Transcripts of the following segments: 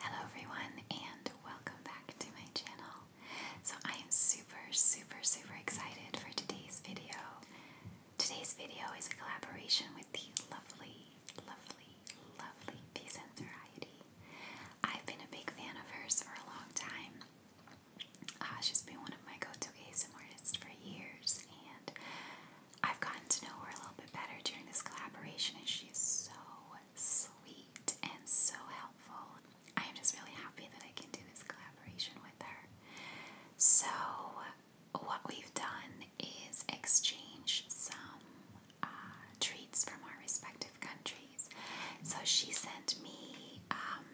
Hello everyone and welcome back to my channel. So I am super super super excited for today's video. Today's video is a collaboration with the lovely lovely lovely Peace and Variety. I've been a big fan of hers for a long time. Uh, she's been one of my go-to ASMR artists for years and I've gotten to know her a little bit better during this collaboration and she's so sweet and so helpful. I am just really happy that I can do this collaboration with her. So, what we've done is exchange some uh, treats from our respective countries. So, she sent me um,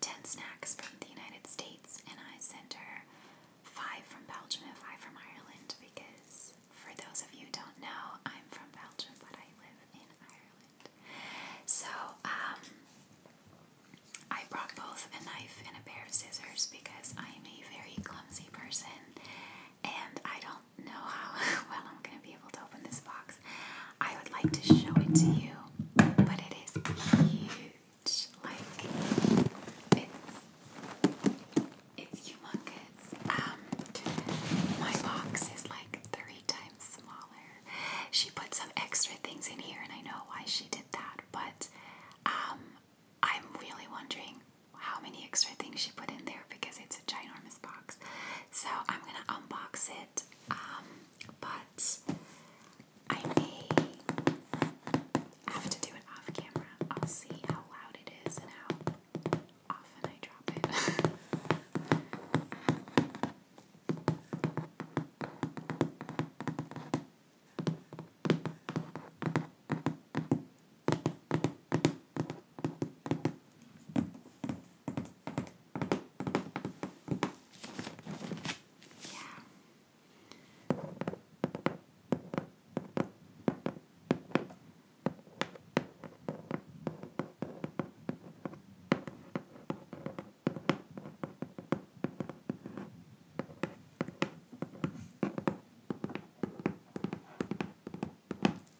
10 snacks from the United States, and I sent her five from Belgium and five from Ireland because for those of you don't know, I'm from Belgium, but I live in Ireland. So, um, I brought both a knife and a pair of scissors because I'm a very clumsy person and I don't know how well I'm going to be able to open this box. I would like to show it to you, but it is huge. Like, it's it's humongous. Um, my box is like three times smaller. She put some extra things in here, and I know why she did that, but um, I'm really wondering how many extra things she put in there because it's a ginormous box. So I'm gonna unbox it, um, but I may have to do it off camera. I'll see how loud it is and how often I drop it. yeah. All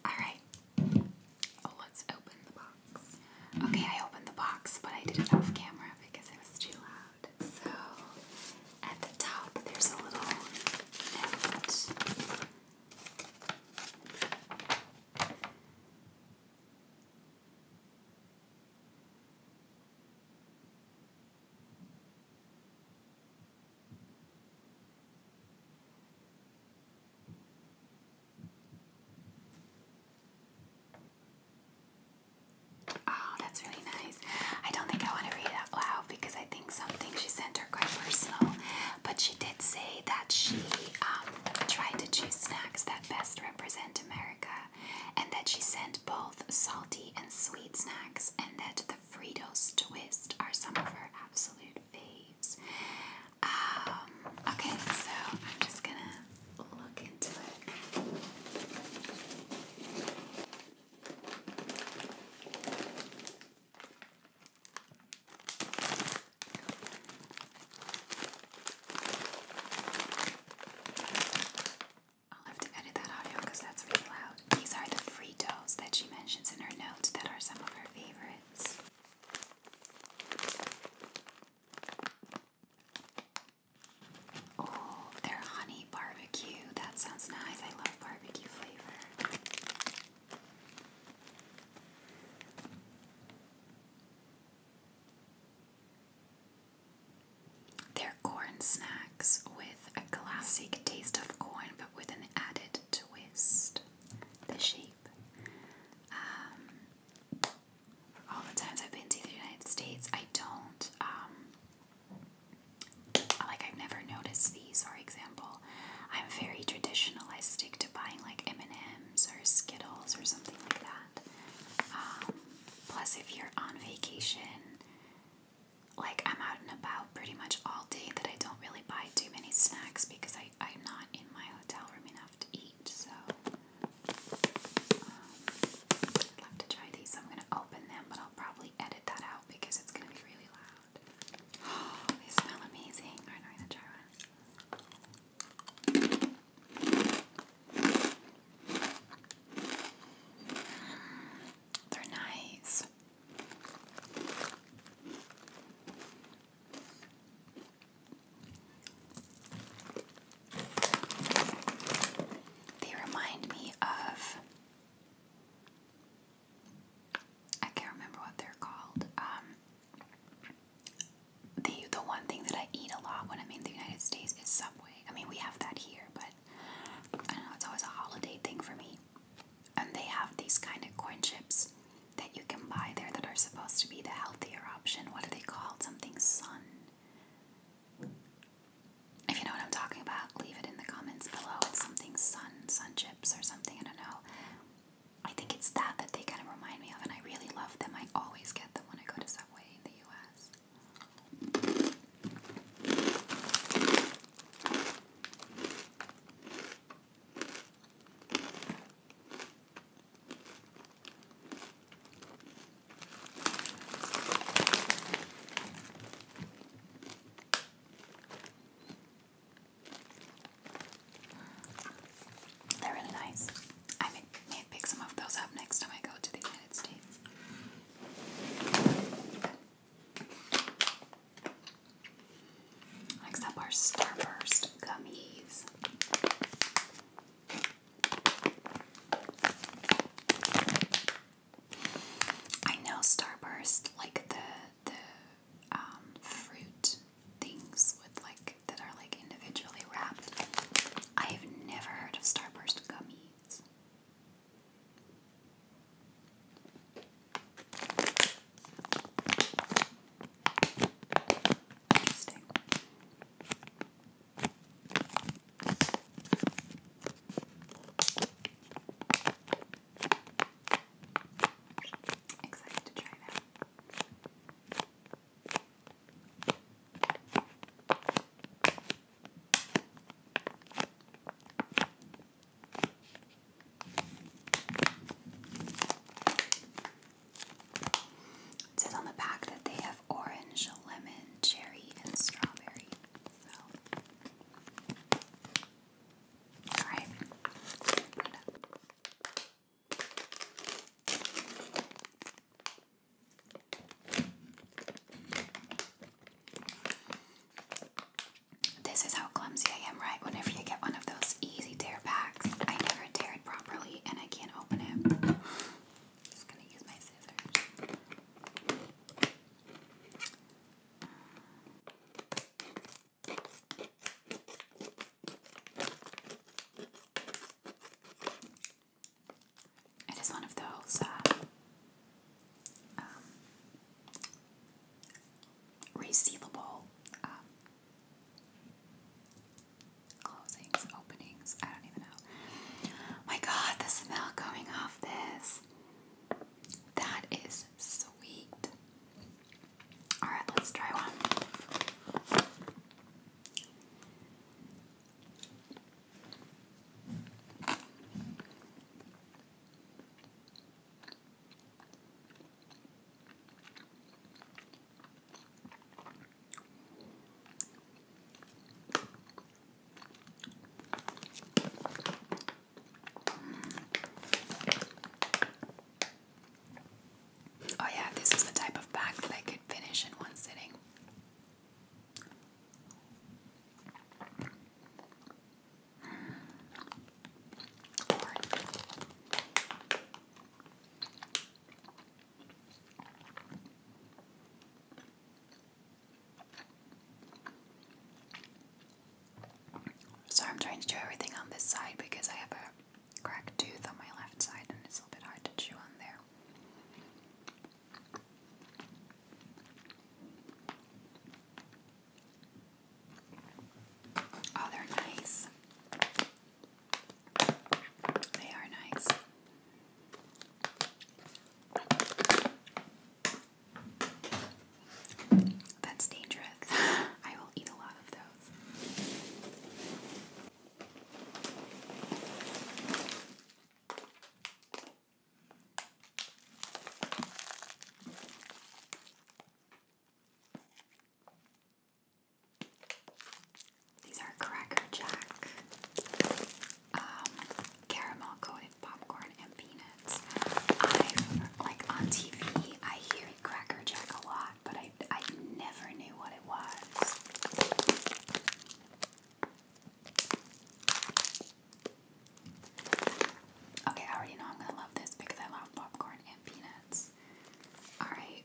right, oh, let's open the box. Okay, I opened the box, but I did it off camera because it was too loud. So at the top, there's a little note. Oh, that's really nice. I don't think I want to read it out loud because I something she sent her quite personal, but she did say that she um, tried to choose snacks that best represent America, and that she sent both salty and sweet snacks, and that the Fritos twist are some of her absolute faves. Um, okay, so I'm just gonna look into it. I'll have to edit that audio because that's really loud. These are the Fritos that she mentions in her notes that are some of her favorites. Oh, their honey barbecue. That sounds nice. I love barbecue flavor. They're corn snacks with a classic taste of corn but with an added twist. The shape. Um, all the times I've been to the United States, I don't um, like I've never noticed these. For example, I'm very traditional. I stick to buying like M&Ms or Skittles or something like that. Um, plus, if you're on vacation, like I'm out and about pretty much all day, that I don't really buy too many snacks because I I'm not in my hotel room enough to eat. So um, I'd love to try these. I'm gonna open them, but I'll probably edit that out because it's gonna be really loud. Oh, they smell amazing. Alright, i gonna try one. They're nice. They remind me of I can't remember what they're called. Um, the the one thing that I eat a lot when I'm in the United States is Subway. I mean, we have that here, but I don't know. It's always a holiday thing for me. And they have these kind of corn chips that you can buy there that are supposed to be the healthier option. What are they called? Something sun. If you know what I'm talking about, leave it in the comments below. It's something sun, sun chips or something, I don't know. I think it's that that they kind of remind me of, and I really love them. I always get them when I go to Subway in the US. They're really nice. I may, pick some of those up next time I go to the United States. Next up are Starburst gummies. I know Starburst, like the the um, fruit things with like that are like individually wrapped. I have never heard of Starburst gummies. Interesting. Excited to try that. says on the back that they have orange, lemon, cherry, and strawberry all right. This is how clumsy I am, right? Whenever you get one of those easy tear packs, I never tear it properly and I can't open it. Just gonna use my scissors. It is one of those uh, um, resealable um, closings, openings. I don't even know. My God, the smell coming off this. That is sweet. Alright, let's try one. Oh, yeah, this is the type of bag that I could finish in one sitting. So I'm trying to do everything on this side because I have a cracked tooth on my left side and it's a little bit hard to chew on there. Oh, they're nice. They are nice. That's dangerous. I will eat a lot of those. These are Cracker Jack um, caramel coated popcorn and peanuts. I've, like on TV, I hear Cracker Jack a lot, but I, I never knew what it was. Okay, I already know I'm gonna love this because I love popcorn and peanuts. Alright.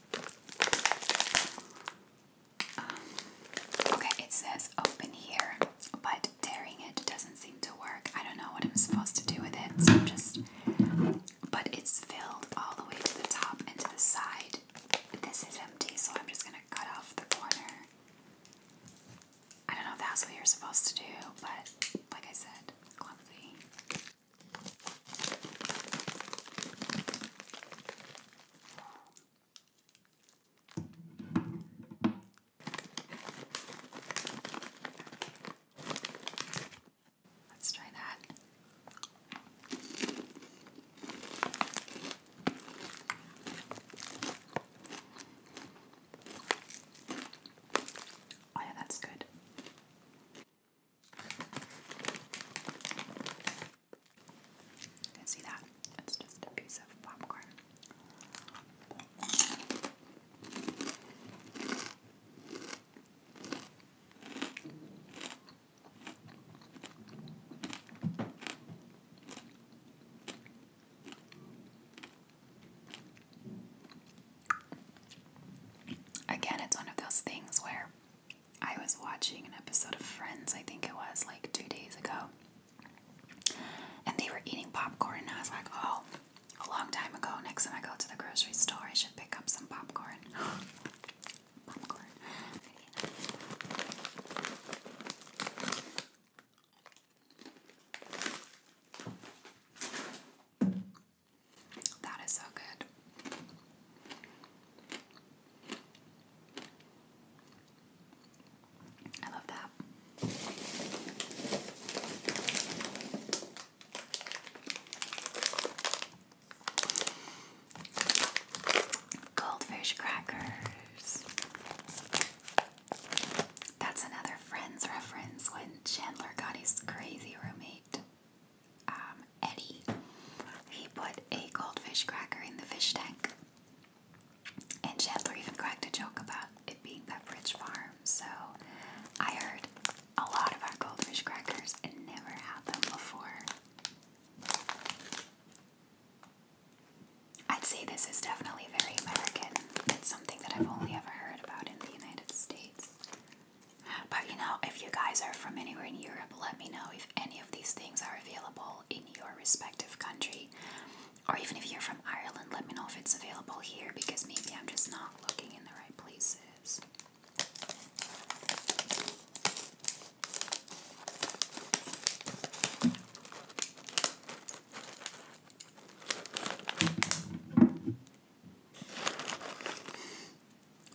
Um, okay, it says open here, but tearing it doesn't seem to work. I don't know what I'm supposed to do with it, so I'm just. But it's filled all the way to the top and the side. This is empty, so I'm just gonna cut off the corner. I don't know if that's what you're supposed to do, but like I said, clumsy. Let's try that. Oh, yeah, that's good. You can see that? It's just a piece of popcorn. Again, it's one of those things where I was watching an episode of Friends, I think it was like two days ago, and they were eating popcorn, and I was like, oh, a long time ago, next time I go to the grocery store, I should pick up some popcorn. popcorn. That is so good. I love that. Goldfish crackers. That's another Friends reference when Chandler got his crazy roommate. Um, Eddie, he put a goldfish cracker in the fish tank. And Chandler even cracked a joke about it being Pepperidge Farm. So I heard a lot of our goldfish crackers and never had them before. I'd say this is definitely very American. It's something that I've only ever heard about in the United States. But you know, if you guys are from anywhere in Europe, let me know if any of these things are available in your respective country. Or even if you're from Ireland, let me know if it's available here because maybe I'm just not looking in the right places.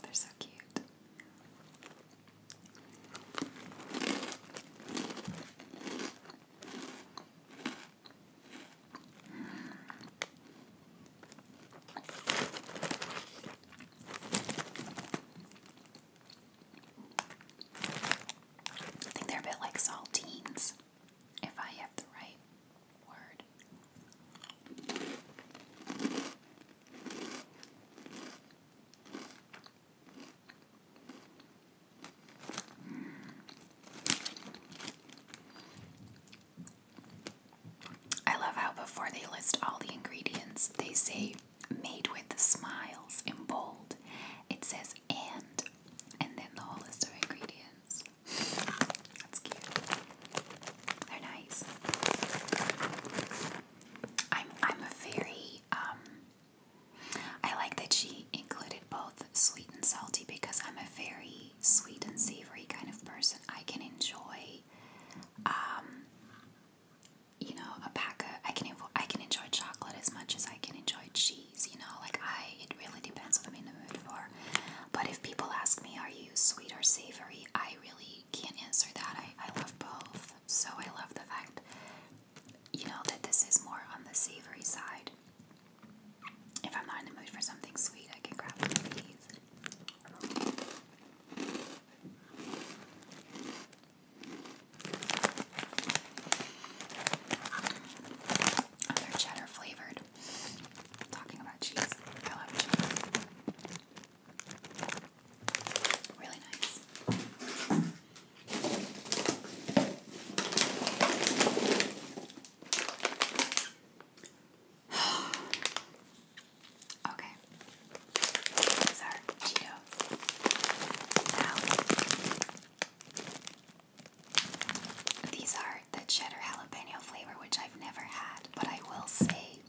They're so cute. I think they're a bit like saltines, if I have the right word. I love how before they list all the ingredients, they say made with smiles in bold. It says and, and then the whole list of ingredients. That's cute. They're nice. I'm I'm a very um, I like that she included both sweet and salty because I'm a very sweet and savory kind of person. I can enjoy um you know a pack I can I can enjoy chocolate as much as I can enjoy cheese, you know, like I it really depends what I'm in the mood for. But if people ask me, are you sweet or savory? I really can't answer that. I, I love both. So I love the fact, you know, that this is more on the savory side. If I'm not in the mood for something sweet, I can grab one of these. Other cheddar flavored. Talking about cheese, I love cheese. Really nice. okay. These are Cheetos. Now, these are preferred the cheddar jalapeno flavor, which I've never had. But I will say,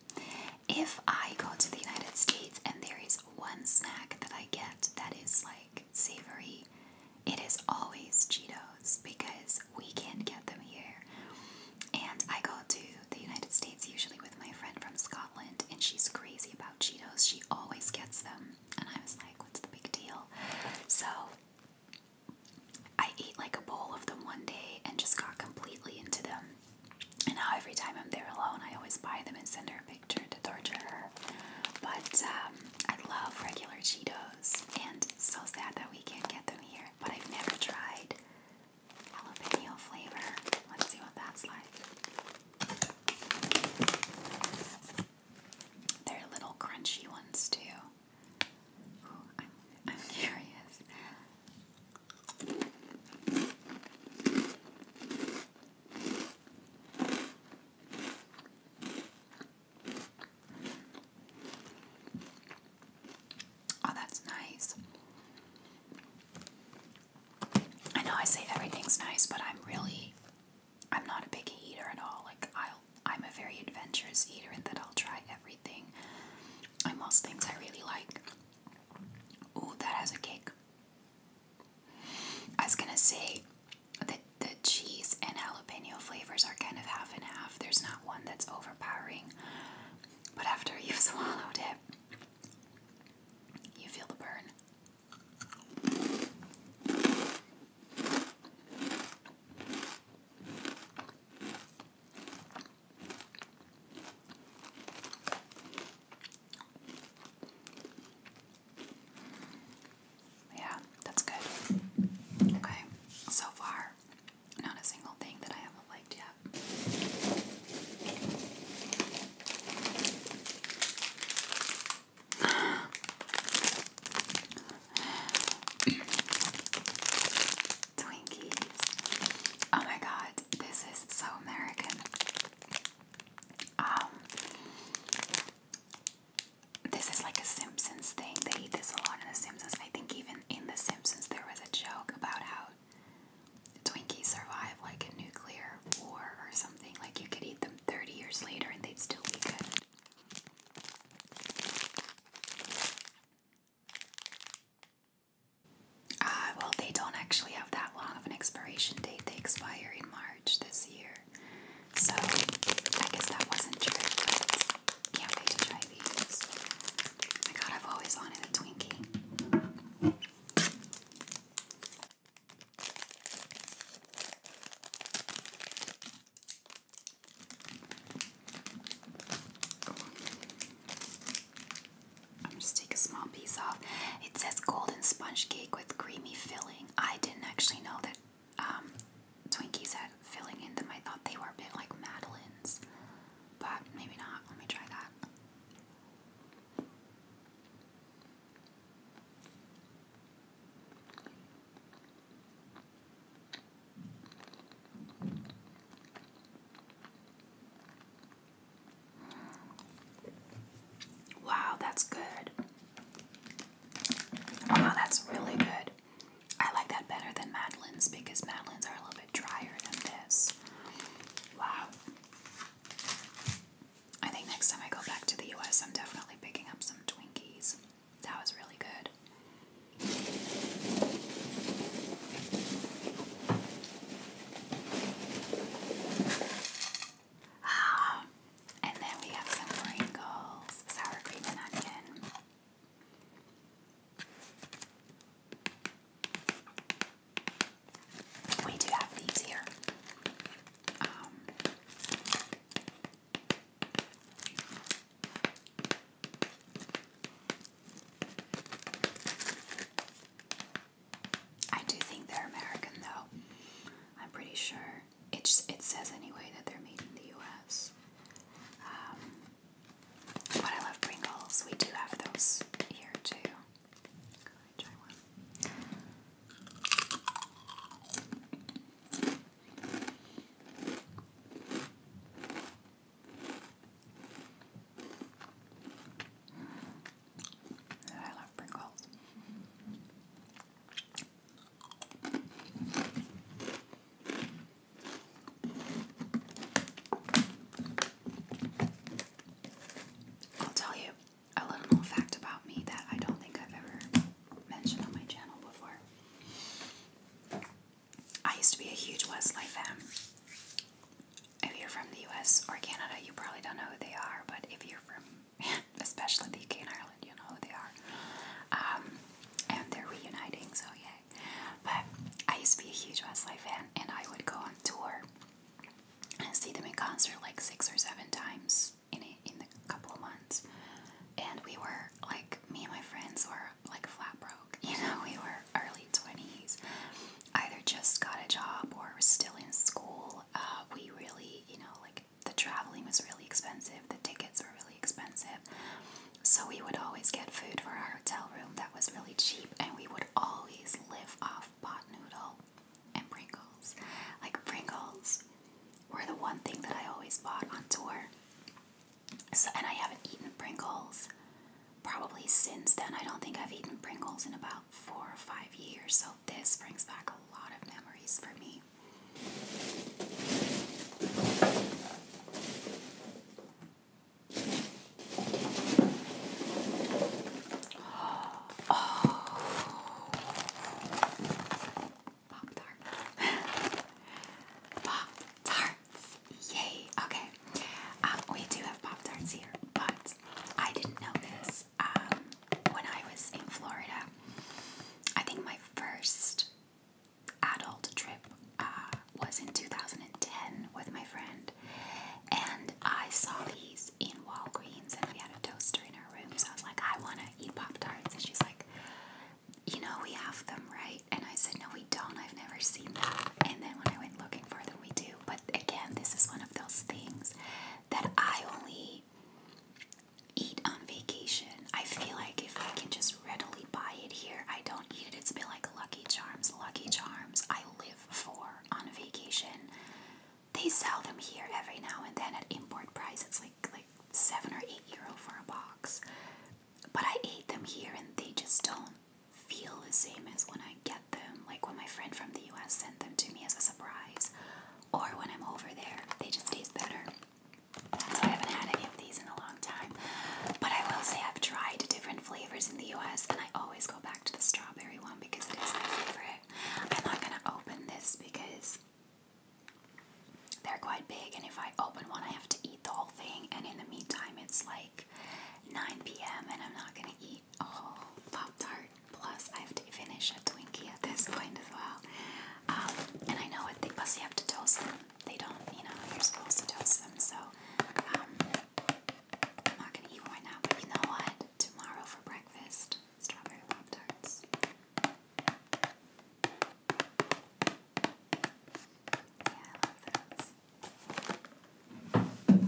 if I go to the United States and there is one snack that I get that is like savory, it is always Cheetos because we can't get them here. And I go to the United States usually with my friend from Scotland, and she's crazy about Cheetos. She always gets them. And I was like, what's the big deal? So I ate like a bowl of them one day and just got completely into them. And now every time I'm there alone, I always buy them and send her a picture to torture her. But um, I love regular Cheetos, and so sad that we can't get them here. But I've never tried jalapeno flavor. Let's see what that's like. They're little crunchy ones too. I'm, curious. Oh, that's nice. I know I say everything's nice, but I'm really, I'm not a picky eater at all. Like, I'll I'm a very adventurous eater and that I'll try everything. I'm most things I really like. Ooh, that has a kick. I was gonna say that the cheese and jalapeno flavors are kind of half and half. There's not one that's overpowering. But after you've swallowed it, you feel the burn. Yeah, that's good. Okay, so far, not a single thing that I haven't liked yet. Twinkies. Oh my god, this is so American. Um, this is like a Simpsons thing. They eat this a lot in The Simpsons. I think even in The Simpsons there was a joke about how Twinkies survive like a nuclear war or something. Like you could eat them 30 years later and they'd still be good. Ah, well, they don't actually have that long of an expiration date. They expire in March this year. So, I guess that wasn't true, can't wait to try these. my god, I've always wanted a Twinkie. I'm just take a small piece off. It says golden sponge cake with creamy filling. I didn't actually know that um, Twinkies had filling in them. I thought they were a bit like Madeline's, but maybe not. Let me try that. Wow, that's good. Wow, that's really good. I like that better than Madeline's because Madeline's are a little bit drier than this. Wow. I think next time I go back to the US, I'm definitely picking up some Twinkies. That was really good. Um, and then we have some Pringles, sour cream and onion. We do have these here. Um, I do think they're American, though. I'm pretty sure. It, it says anyway that they're made in the U.S. Um, but I love Pringles. We do have those here, too. I love Pringles. I'll tell you a little fact about me that I don't think I've ever mentioned on my channel before. I used to be a huge Westlife fan. If you're from the US or Canada, you probably don't know who they are, but if you're from, especially the UK and Ireland, you know who they are. Um, and they're reuniting, so yay. But I used to be a huge Westlife fan, and I would go on tour and see them in concert like six or seven times in in a couple of months friends. And we were like, me and my friends were like flat broke. You know, we were early 20s, either just got a job or were still in school. Uh, we really, you know, like the traveling was really expensive, the tickets were really expensive. So we would always get food for our hotel room that was really cheap, and we would always live off pot noodle and Pringles. Like Pringles were the one thing that I always bought on tour. So, and I haven't eaten Pringles probably since then. I don't think I've eaten Pringles in about four or five years. So this brings back a lot of memories for me. Oh. Pop tarts. pop tarts. Yay. Okay. Um, we do have pop tarts here, but I didn't know this. Um, when I was in Florida, I think my first adult trip uh, was in 2010 with my friend, and I saw these in Walgreens, and we had a toaster in our room. So I was like, I want to eat pop tarts, and she's like, you know we have them, right? And I said, no, we don't. I've never seen them. And then when I went looking for them, we do. But again, this is one of those things that I only eat on vacation. I feel like if I can just readily buy it here, I don't eat it. It's a bit like Lucky Charms. Lucky Charms, I live for on vacation. They sell them here every now and then at import price. It's like like like seven or eight euro for a box. But I ate them here and they just don't feel the same as when I get them. Like when my friend from the US sent them to me as a surprise, or when I'm over there, they just taste better. So I haven't had any of these in a long time. But I will say I've tried different flavors in the US and I always go back to the strawberry one because it is my favorite. I'm not gonna open this because they're quite big, and if I open one, I have to eat the whole thing. And in the meantime, it's like 9 p.m., and I'm not gonna eat a whole Pop Tart. Plus, I have to finish a Twinkie at this point as well. Um, and I know it, they, plus, you have to toast them. They don't, you know, you're supposed to toast them, so um, I'm not gonna eat one now. But you know what? Tomorrow for breakfast, strawberry Pop Tarts. Yeah, I love those.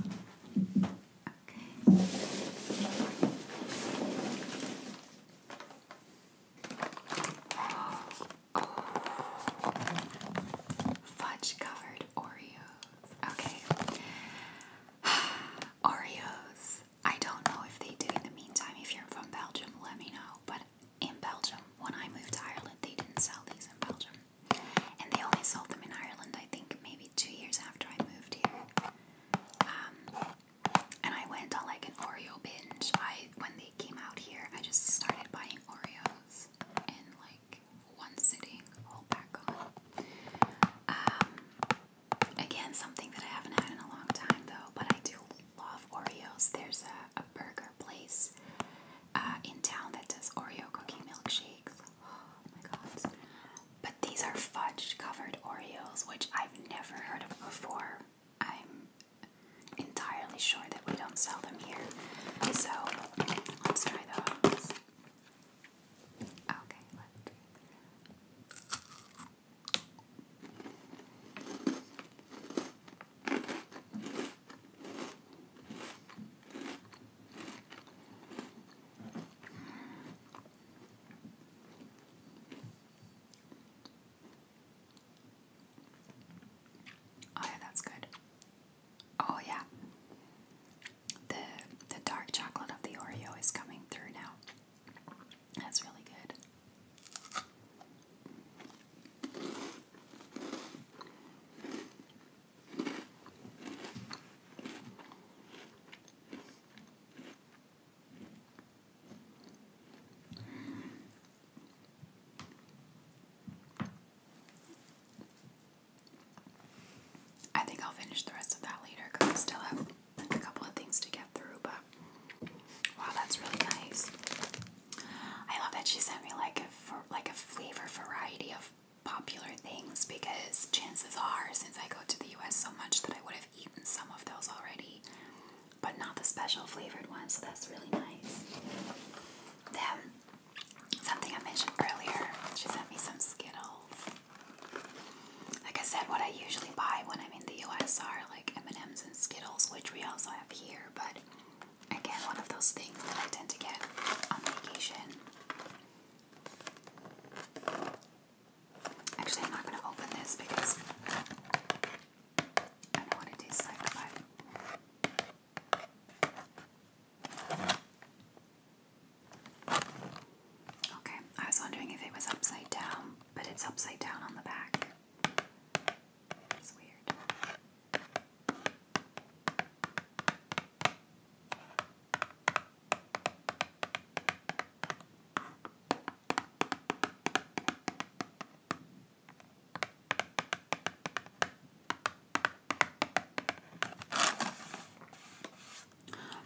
Okay. Oh. Fudge covered Oreos. Okay. Oreos. I don't know if they do in the meantime. If you're from Belgium, let me know. But in Belgium, when I moved to Ireland, they didn't sell these in Belgium. And they only sold them in Ireland, I think, maybe two years after I moved here. Um, and I went on like an Oreo binge. I when they came out here, I just started buying Oreos in like one sitting, whole pack on. Um, again, something that I haven't had in a long time though, but I do love Oreos. There's a, a burger place uh, in town that does Oreo cookie milkshakes. Oh my god. But these are fudge covered Oreos, which I've never heard of before. I'm entirely sure that we don't sell them here. So let's try those. Okay, let's. Oh yeah, that's good. Oh yeah. The the dark chocolate of the Oreo is coming through now. That's really good. I think I'll finish the rest of that later because I still have a couple of things to get through, but wow, that's really nice. I love that she sent me like a like a flavor variety of popular things because chances are, since I go to the U.S. so much, that I would have eaten some of those already, but not the special flavored ones. So that's really nice. Then something I mentioned earlier, she sent me some Skittles. Like I said, what I usually buy when I'm in the US are like M&Ms and Skittles, which we also have here, but again, one of those things that I tend to get on vacation. Actually, I'm not going to open this because I don't know what it tastes like, but... Okay, I was wondering if it was upside down, but it's upside down on the back. It's weird.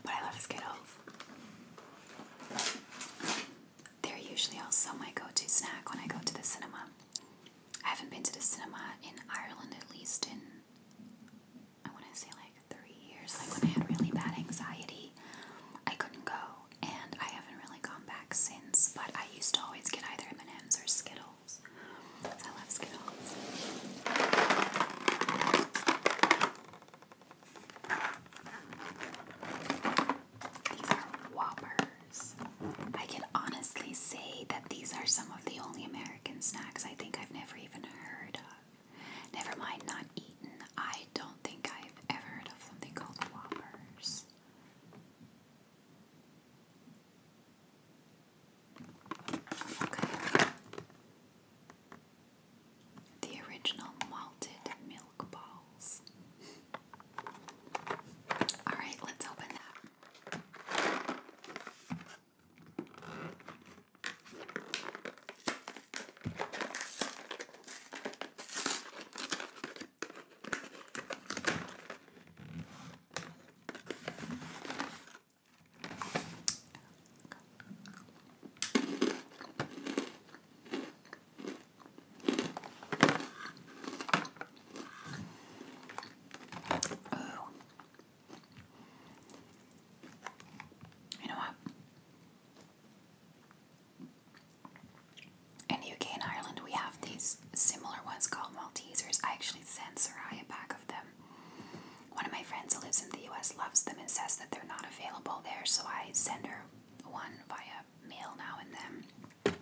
But I love Skittles they're usually also my go-to snack when I go to the cinema. I haven't been to the cinema in Ireland at least in I want to say like three years. Like when I had really bad anxiety, I couldn't go, and I haven't really gone back since. But I used to always get either M&Ms or Skittles. I love Skittles. These are Whoppers. I can honestly say that these are some of the only American snacks I think I've never even heard of. Never mind, not eaten. I don't think I've ever heard of something called Whoppers. Okay. The original malted milk balls. Alright, let's open that. Oh. You know what? In the UK and Ireland, we have these similar ones called Maltesers. I actually sent Sarai a pack of them. One of my friends who lives in the US loves them and says that they're not available there, so I send her one via mail now and then.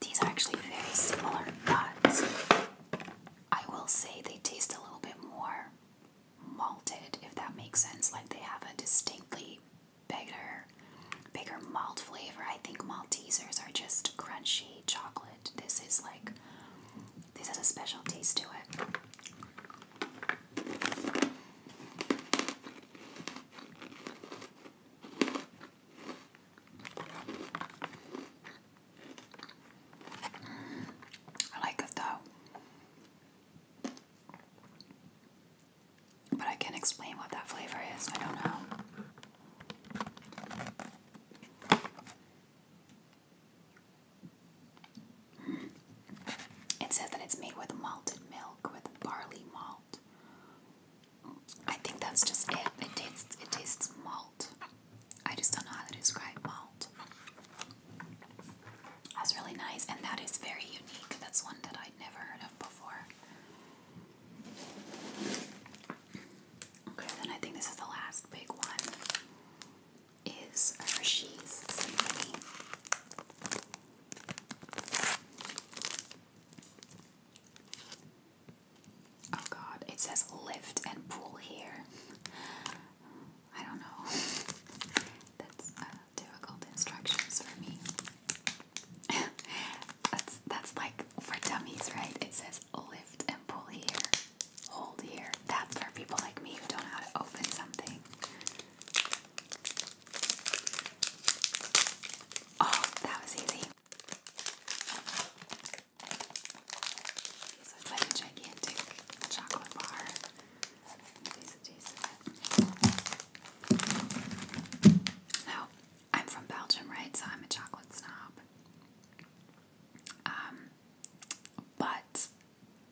These are actually very similar, but I will say they taste a little bit more malted, if that makes sense. Like they have a distinctly bigger, bigger malt flavor. I think Maltesers are just crunchy chocolate. This is like, this has a special taste to it. I like it though. But I can't explain what that flavor is. I don't know. It says that it's made with malted milk with barley malt. I think that's just it. It tastes it tastes malt. I just don't know how to describe malt. That's really nice, and that is very unique. That's one that I'd never heard of before. Okay, then I think this is the last big one. Is Hershey's Symphony. Oh god, it says lift and pull here. I don't know. That's difficult instructions for me. that's that's like for dummies, right? It says lift and pull here, hold here. That's for people like me who don't know how to open something. Oh, that was easy. So it's like a gigantic chocolate bar. Now, I'm from Belgium, right? So I'm a chocolate snob. Um, but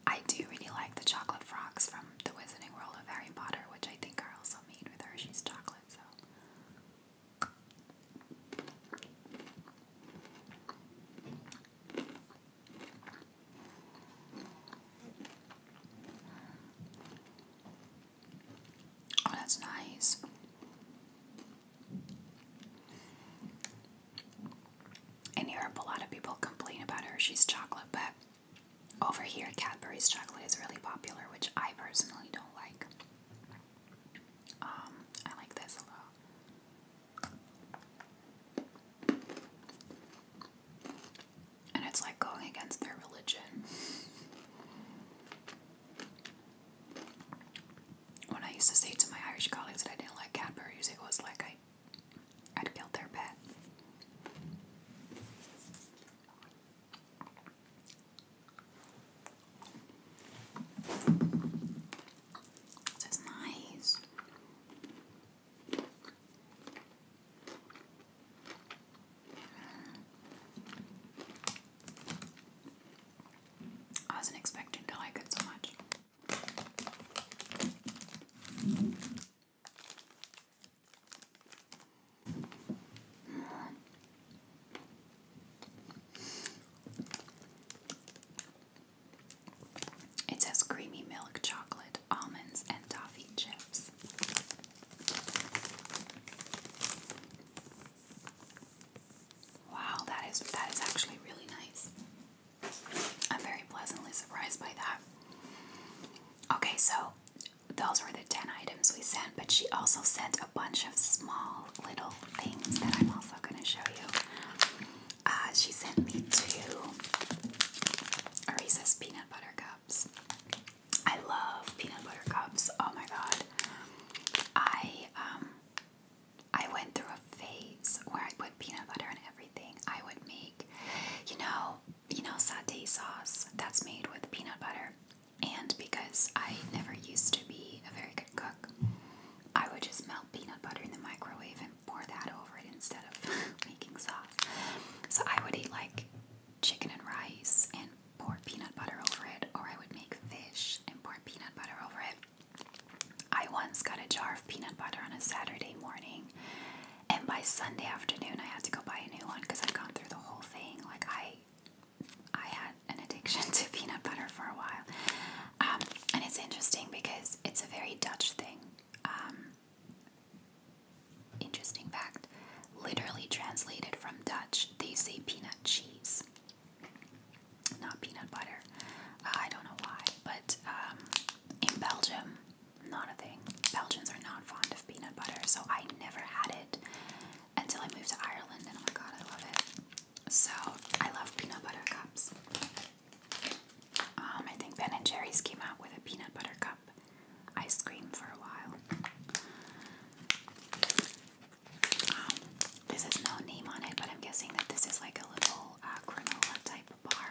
I do really like the chocolate frogs from the Wizarding World of Harry Potter, which I think are also made with Hershey's chocolate, so. Oh, that's nice. In Europe, a lot of people complain about Hershey's chocolate, but over here, Cadbury's chocolate is really popular, which I personally don't like. Um, I like this a lot. And it's like going against their religion. When I used to say to my Irish colleagues that I didn't like Cadbury's, it was like I I'd killed their pet. This is nice. I wasn't expecting to like it so much. It says creamy milk, chocolate, almonds, and toffee chips. Wow, that is that is actually really nice. I'm very pleasantly surprised by that. Okay, so those were the 10 items we sent, but she also sent a bunch of small little things that I'm also going to show you. Uh, she sent me two Reese's peanut butter cups. I love peanut butter cups. Oh my god. I um I went through a phase where I put peanut butter in everything. I would make you know, you know satay sauce that's made with peanut butter. And because I never used to be a very good cook, I would just melt peanut butter in the microwave and pour that over it instead of making sauce. So I would eat like chicken and rice and pour peanut butter over it, or I would make fish and pour peanut butter over it. I once got a jar of peanut butter on a Saturday morning and by Sunday afternoon, I had to go buy a new one because I'd gone through the whole thing. Like I, I had an addiction to peanut butter for a while. Um, and it's interesting because it's a very Dutch thing. Um, interesting fact, literally translated from Dutch, they say peanut cheese, not peanut butter. Uh, I don't know why, but um, in Belgium, not a thing. Belgians are not fond of peanut butter, so I never had it until I moved to Ireland, and oh my god, I love it. So I love peanut butter cups. Um, I think Ben and Jerry's came out with a peanut butter cup ice cream for a while. Um, this is no name on it, but I'm guessing that this is like a little uh, granola type bar.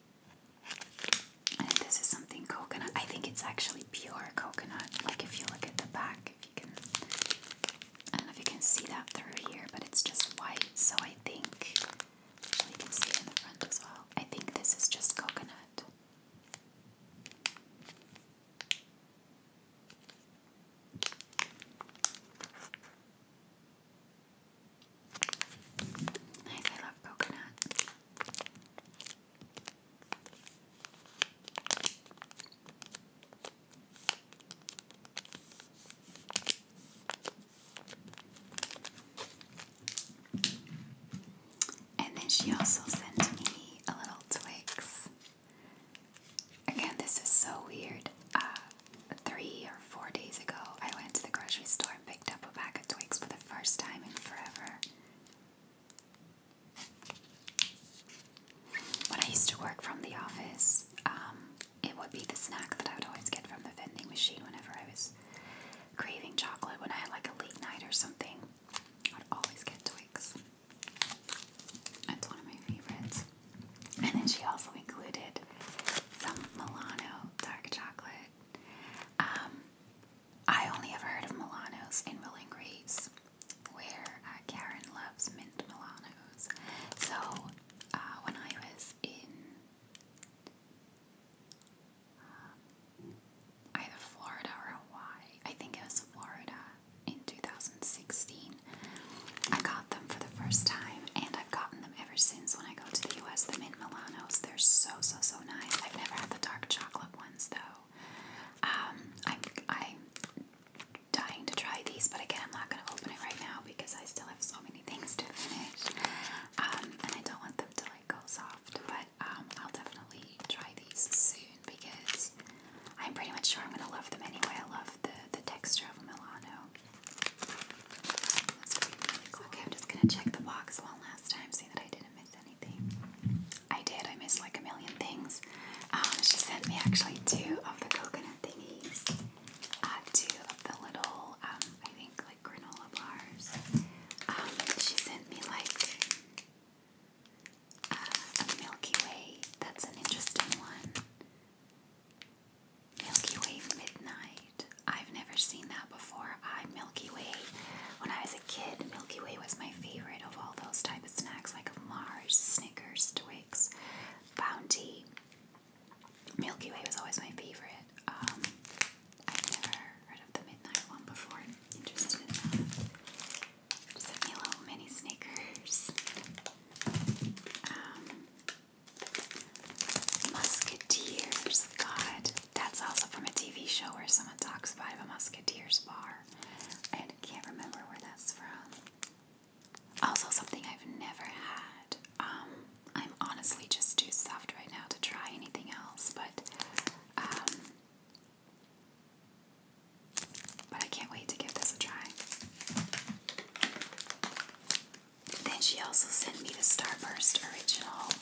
this is something coconut. I think it's actually pure coconut. Like if you look at the back, if you can, I don't know if you can see that through here, but it's just white. So I think, you can see it in the front as well. I think this is just coconut. I love coconut. And then she also sent me a little Twix. Again, this is so weird. Uh, three or four days ago, I went to the grocery store and picked up a pack of Twix for the first time in forever. When I used to work from the office, um, it would be the snack that I would always get from the vending machine whenever I was craving chocolate. When I had like a late night or something, I would always get Twix. That's one of my favorites. And then she also included some Milano dark chocolate. Um, I only ever heard of Milanos in Milling Greece, where uh, Karen loves mint Milanos. So uh, when I was in uh, either Florida or Hawaii, I think it was Florida in 2016, I got them for the first time, and I've gotten them ever since when I go to the US. The mint Milanos, they're so so so nice. I've never had the dark chocolate ones though. Um, I'm, I'm dying to try these, but again, I'm not going to open it right now because I still have so many things to finish. Um, and I don't want them to like go soft, but um, I'll definitely try these soon because I'm pretty much sure I'm going to love them anyway. I love the, the texture of a Milano. Okay, I'm just going to check the box one last time, see that I didn't miss anything. I did. I missed like a million things. Um, she sent me actually two of the coconut thingies. Uh, two of the little, um, I think like granola bars. Um, she sent me like uh, a Milky Way. That's an interesting one. Milky Way Midnight. I've never seen that before. I Milky Way. When I was a kid, Milky Way was my favorite of all those type of snacks, like Mars, Snickers, Twix, Bounty. Milky Way was always my favorite. Um, I've never heard of the midnight one before. interested in that. Just me a little mini Snickers. Um, Musketeers. God, that's also from a TV show where someone talks about a Musketeers bar. I can't remember where that's from. Also, something I've never had. Um, I'm honestly just too soft right now to try anything else, but um, but I can't wait to give this a try. Then she also sent me the Starburst original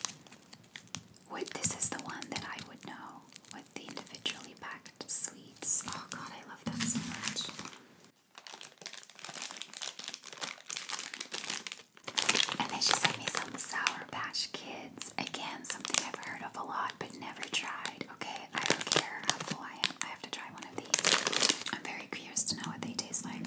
would, this is the one that I would know with the individually packed sweets. Oh god, I love that so much. And then she sent me some Sour Patch Kids. Again, something I've heard of a lot but never tried. Okay, I don't care how full I am. I have to try one of these. I'm very curious to know what they taste like.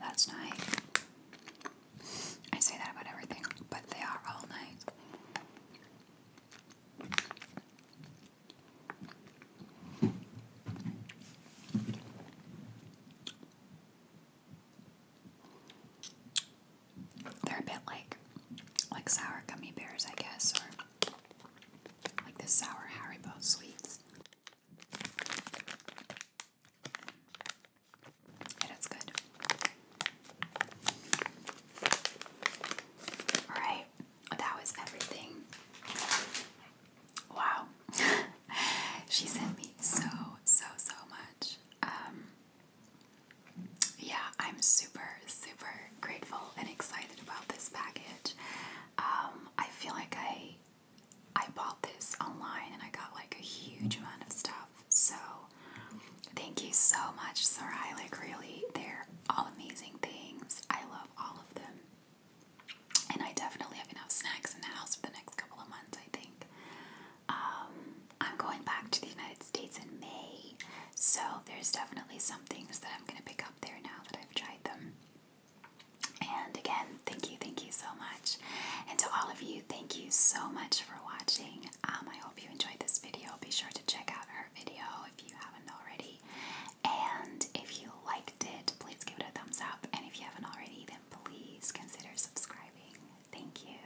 That's nice. I say that about everything, but they are all nice. They're a bit like like sour gummy bears, I guess, or like the sour Haribo sweets. it's good. Alright, that was everything. Wow. she sent me so, so, so much. Um, yeah, I'm super, super grateful and excited about this package. Um, I feel like I I bought this online and I got like a huge amount of stuff. So thank you so much, sir. I Like really, they're all amazing things. I love all of them. And I definitely have enough snacks in the house for the next couple of months, I think. Um, I'm going back to the United States in May, so there's definitely some things that I'm going to pick up there now that I've tried them. And again, thank you, thank you so much. And to all of you, thank you so much for watching. Um, I hope you enjoyed this video. Be sure to check out her video if you haven't already. And if you liked it, please give it a thumbs up. And if you haven't already, then please consider subscribing. Thank you.